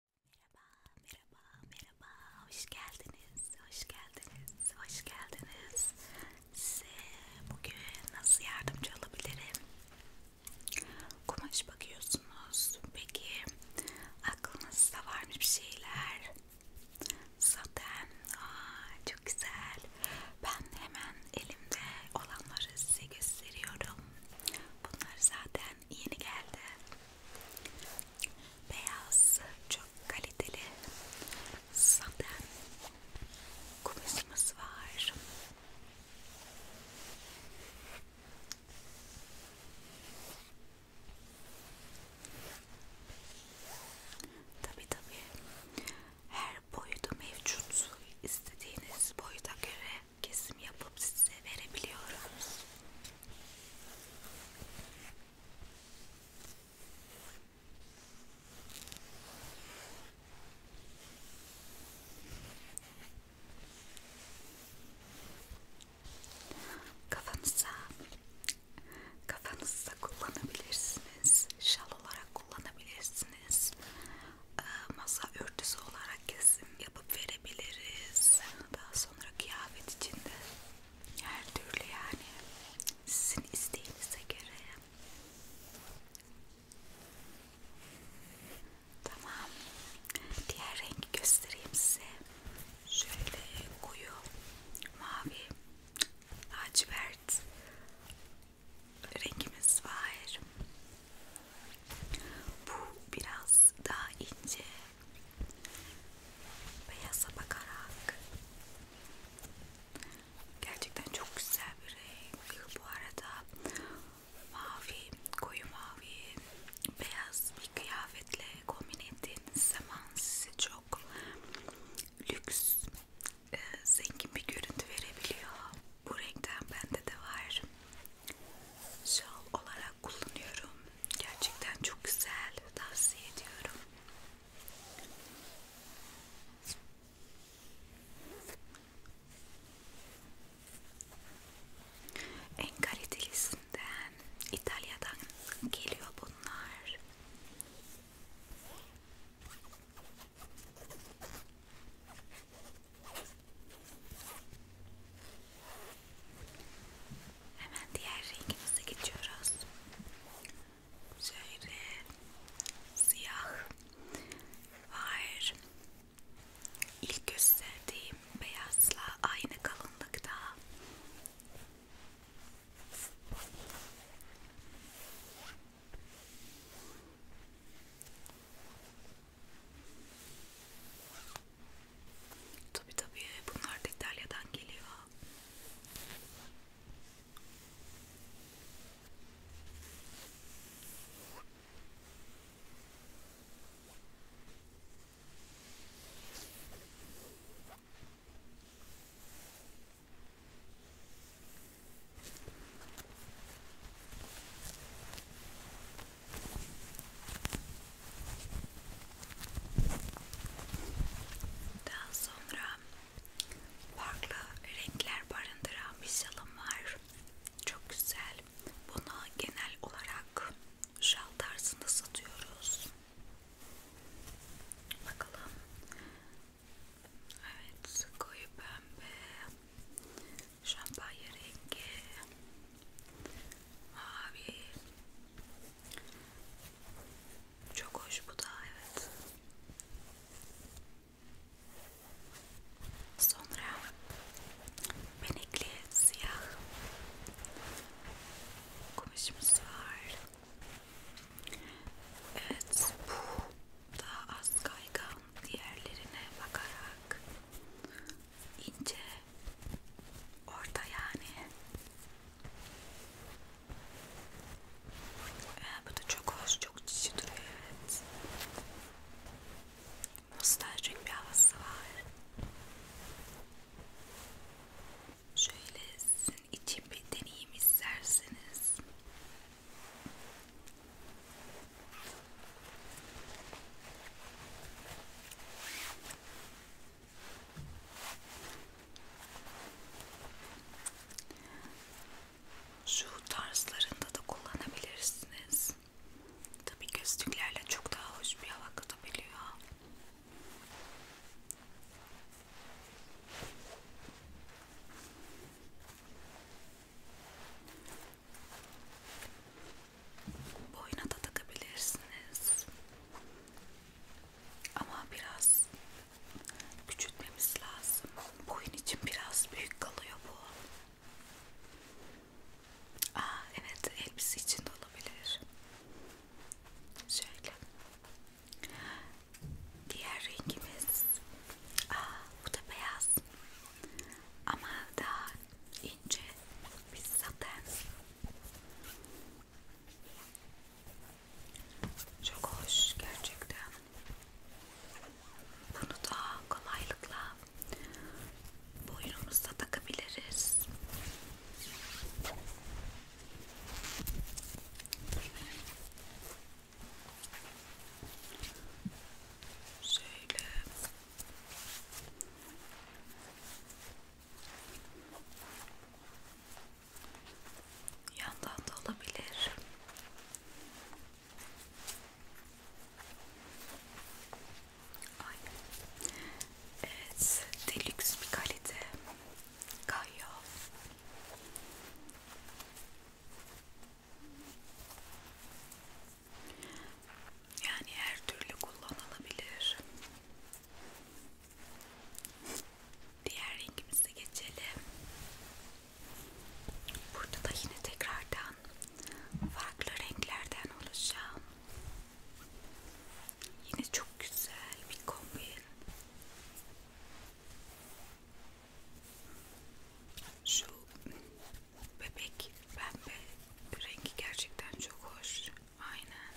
Merhaba, merhaba, merhaba. Hoş geldiniz, hoş geldiniz, hoş geldiniz. Size bugün nasıl yardımcı olabilirim? Kumaş bakıyorsunuz. Peki aklınızda var mı bir şeyler? Zaten aa, çok güzel. Ben hemen elimde olanları size gösteriyorum. Bunlar zaten zaten yeni geldi. Beyaz çok kaliteli saten kumaşımız var. Tabi tabi her boyuda mevcut istediğiniz boyuda göre kesim yapıp size verebiliyorum. Kafanıza, kafanızda kullanabilirsiniz, şal olarak kullanabilirsiniz, ee, masa örtüsü olarak kesim yapıp verebiliriz. Daha sonra kıyafet içinde her türlü yani sizin isteğinize göre tamam diğer rengi göstereyim size şöyle koyu mavi lacivert rengimiz var bu biraz daha ince Beyaza bakarak gerçekten çok güzel bir renk bu arada mavi koyu mavi beyaz bir kıyafetle kombin ettiğiniz zaman size çok lüks e, zengin bir görüntü verebiliyor bu renkten bende de var şal olarak kullanıyorum Gerçekten çok güzel. Tavsiye ediyorum. En kalitelisinden İtalya'dan geliyor bunlar. Hemen diğer rengimize geçiyoruz. Şöyle siyah var. İlk gösterdiğim beyazla aynı kalınlıkta. Tabi tabi bunlar da İtalya'dan geliyor. Daha sonra farklı renkler barındıran bir şalım var. Çok güzel. Bunu genel olarak şal tarzında satıyoruz. Bakalım. Evet, koyu pembe, şampanya rengi, Mavi. Çok hoş bu da evet. Sonra benekli siyah kumaşımız var. Evet bu daha az kaygan diğerlerine bakarak ince orada yani ee, bu da çok hoş çok cici duruyor evet nostaljik bir havası var şöyle sizin için bir deneyim isterseniz şu tarzlarında da kullanabilirsiniz. Tabii gözlüklerle çok daha hoş bir hava katabiliyor boyuna da takabilirsiniz ama biraz küçültmemiz lazım boyun için biraz büyük kalıyor bu Aa, evet elbise için de olabilir şöyle diğer rengimiz Aa, bu da beyaz ama daha ince bir zaten çok hoş gerçekten. Bunu da kolaylıkla boynumuzda takabiliriz. Şöyle Yandan da olabilir. Ay. Evet, delüks bir kalite. Kayyo. Yani her türlü kullanılabilir. Diğer rengimize geçelim. Burada da yine tekrardan farklı renklerden oluşan yine çok güzel bir kombin. Şu bebek pembe rengi gerçekten çok hoş. Aynen.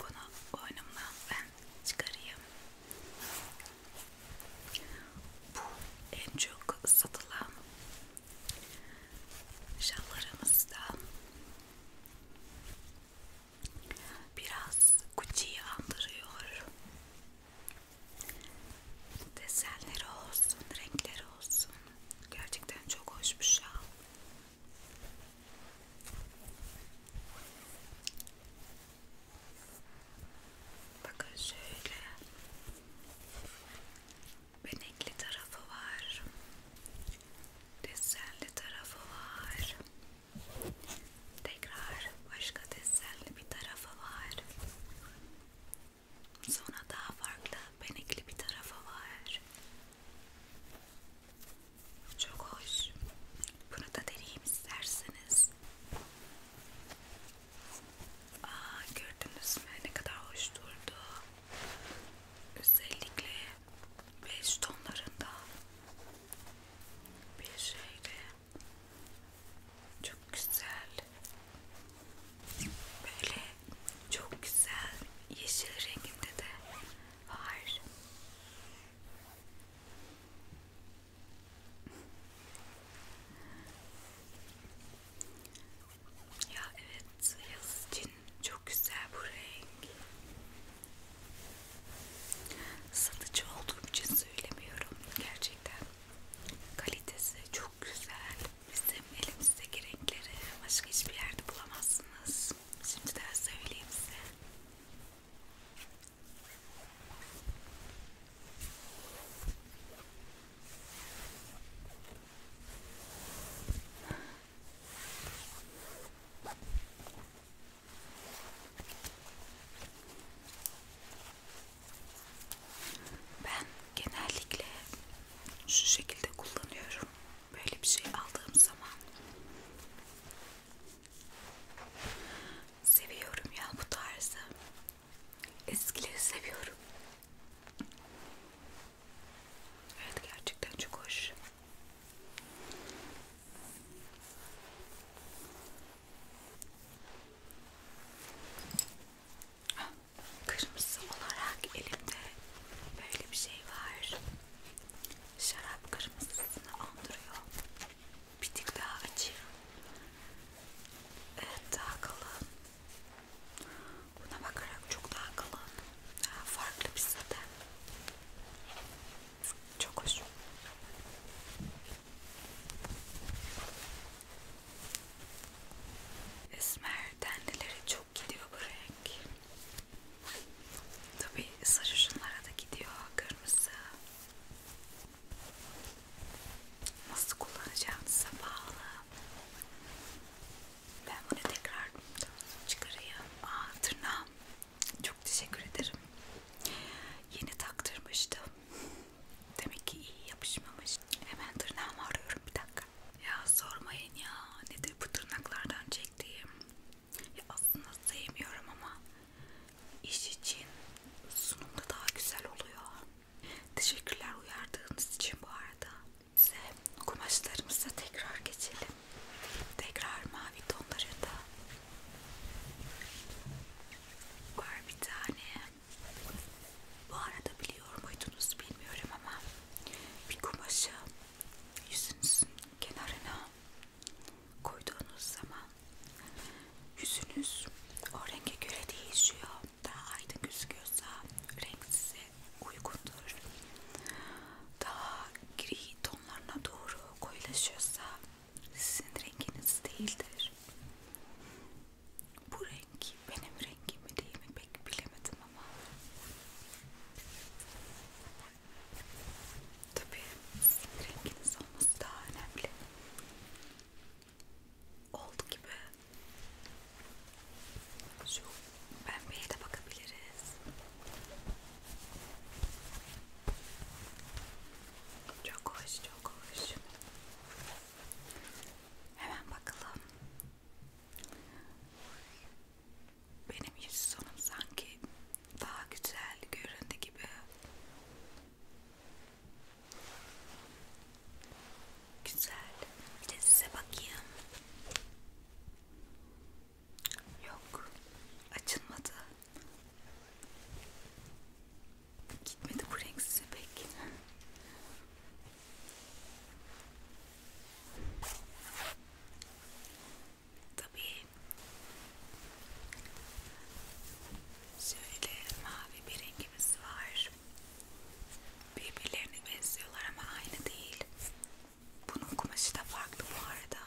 Bunu boynumdan ben çıkarayım. Bu en çok satılan şallarımızda biraz Gucci'yi andırıyor Desenleri olsun, renkleri olsun. Gerçekten çok hoş bir şal. Şey. Bakın şöyle benekli tarafı var, desenli tarafı var, Tekrar başka desenli bir tarafı var. Sonra daha farklı benekli bir tarafı var. Çok hoş. Bunu da deneyim isterseniz. Aa, gördünüz mü ne kadar hoş durdu. Özellikle beş tonlarında bir şeyle çok güzel. Böyle çok güzel yeşil renginde de var. Ya evet yaz için çok güzel bu renk. Satıcı olduğum için söylemiyorum gerçekten. Kalitesi çok güzel. Bizim elimizdeki renkleri başka hiçbir yerde bulamazsınız. Şimdi de söyleyeyim size. Ben genellikle şu şekilde kullanıyorum. Böyle bir şey aldığım zaman seviyorum ya bu tarzı. Eskileri seviyorum. Evet gerçekten çok hoş. Kırmızı olarak elimde böyle bir şey var. Şarap kırmızısını andırıyor. Bir tık daha açayım. Evet daha kalın. Buna bakarak çok daha kalın. Daha farklı bir zaten. Çok hoş. Esmer tendeleri çok gidiyor bu renk. Tabi sarışınlara da gidiyor kırmızı. Nasıl kullanacağınıza bağlı. Ben bunu tekrar çıkarayım. Aa tırnağım. Çok teşekkür ederim. Yeni taktırmıştım. Demek ki iyi yapışmamış. Hemen tırnağımı arıyorum bir dakika. Ya sormayın ya nedir bu tırnaklardan çektiğim. Ya aslında sevmiyorum ama iş için sunumda daha güzel oluyor. Teşekkürler uyardığınız için bu arada. Size kumaşlarımıza tekrar geçelim. Tekrar mavi tonları da var bir tane. Bu arada biliyor muydunuz bilmiyorum ama bir kumaşı yüzünüzün kenarına koyduğunuz zaman yüzünüz o renge göre değişiyor. Daha aydın gözüküyorsa renk size uygundur. Daha gri tonlarına doğru koyulaşıyorsa sizin renginiz değildir. Bu renk benim rengim mi değil mi pek bilemedim ama tabii sizin renginiz olması daha önemli. Oldu gibi. Şu pembeye de bakabiliriz. Çok hoş, çok hoş. Hemen bakalım. Benim yüz sonum sanki daha güzel göründü gibi. Güzel. Bir de size bakayım. Yok. Açılmadı. Gitmedi bu renk size pek. Tabii şöyle mavi bir rengimiz var. Birbirlerine benziyorlar ama aynı değil. Bunun kumaşı da farklı bu arada.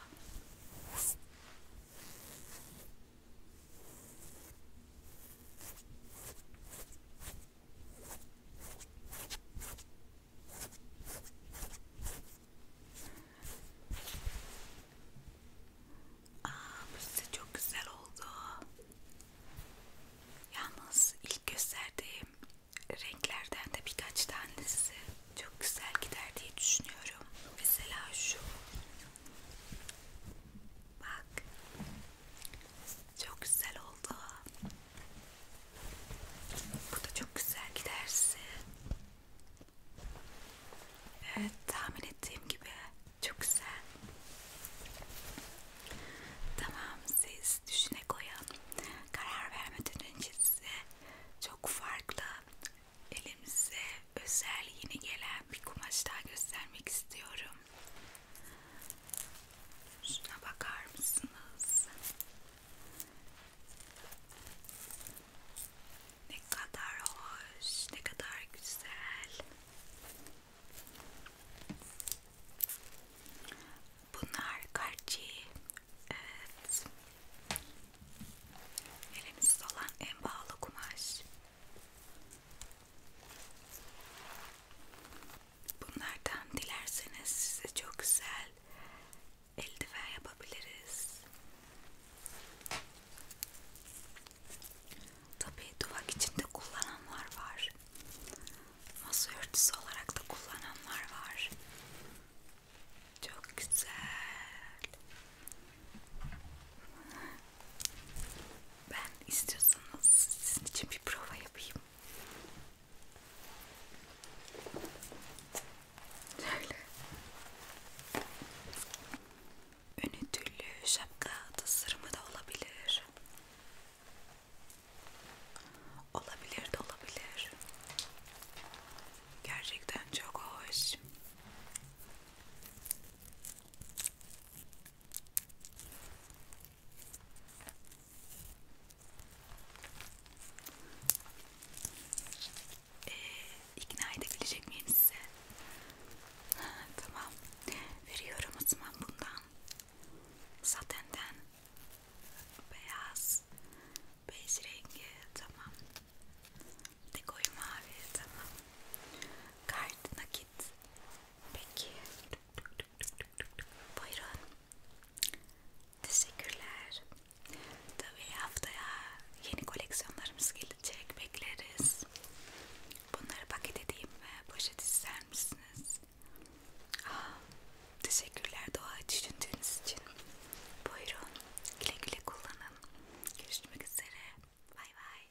Aa, bu size çok güzel oldu. Yalnız ilk gösterdiğim renklerden de birkaç tanesi çok güzel gider diye düşünüyorum. Mesela şu. Bak. Çok güzel oldu. Bu da çok güzel gidersin. Evet tahmin ettiğim gibi çok güzel. Tamam siz düşüne koyun. Karar vermeden önce size çok farklı elimize özel yeni gelen bir kumaş daha göstermek istiyorum. Şuna bakar mısınız? Ne kadar hoş, ne kadar güzel. Bunlar karci. Evet. Elimizde olan en pahalı kumaş. Bunlardan dilerseniz size çok güzel eldiven yapabiliriz. Tabii duvak içinde kullananlar var. Masa örtüsü olarak da kullananlar var. Çok güzel. Ben istiyorsanız sizin için bir prova yapayım. Şöyle. Önü tüllü şapka tasarımı da olabilir. Olabilir de olabilir. Gerçekten çok hoş. Ee, ikna edebilecek miyim size? tamam. Veriyorum o zaman bundan. Satenden. Beyaz. Beyaz rengi. Tamam. Dekoyu mavi. Tamam. Kart nakit. Peki. Buyurun. Teşekkürler. Tabii haftaya yeni koleksiyonlarımız gelecek. Bekleriz. Bunları paket edeyim ve poşet ister misiniz? Aa, ah, teşekkürler doğa düşündüğünüz için. Buyurun. Güle güle kullanın. Görüşmek üzere. Bay bay.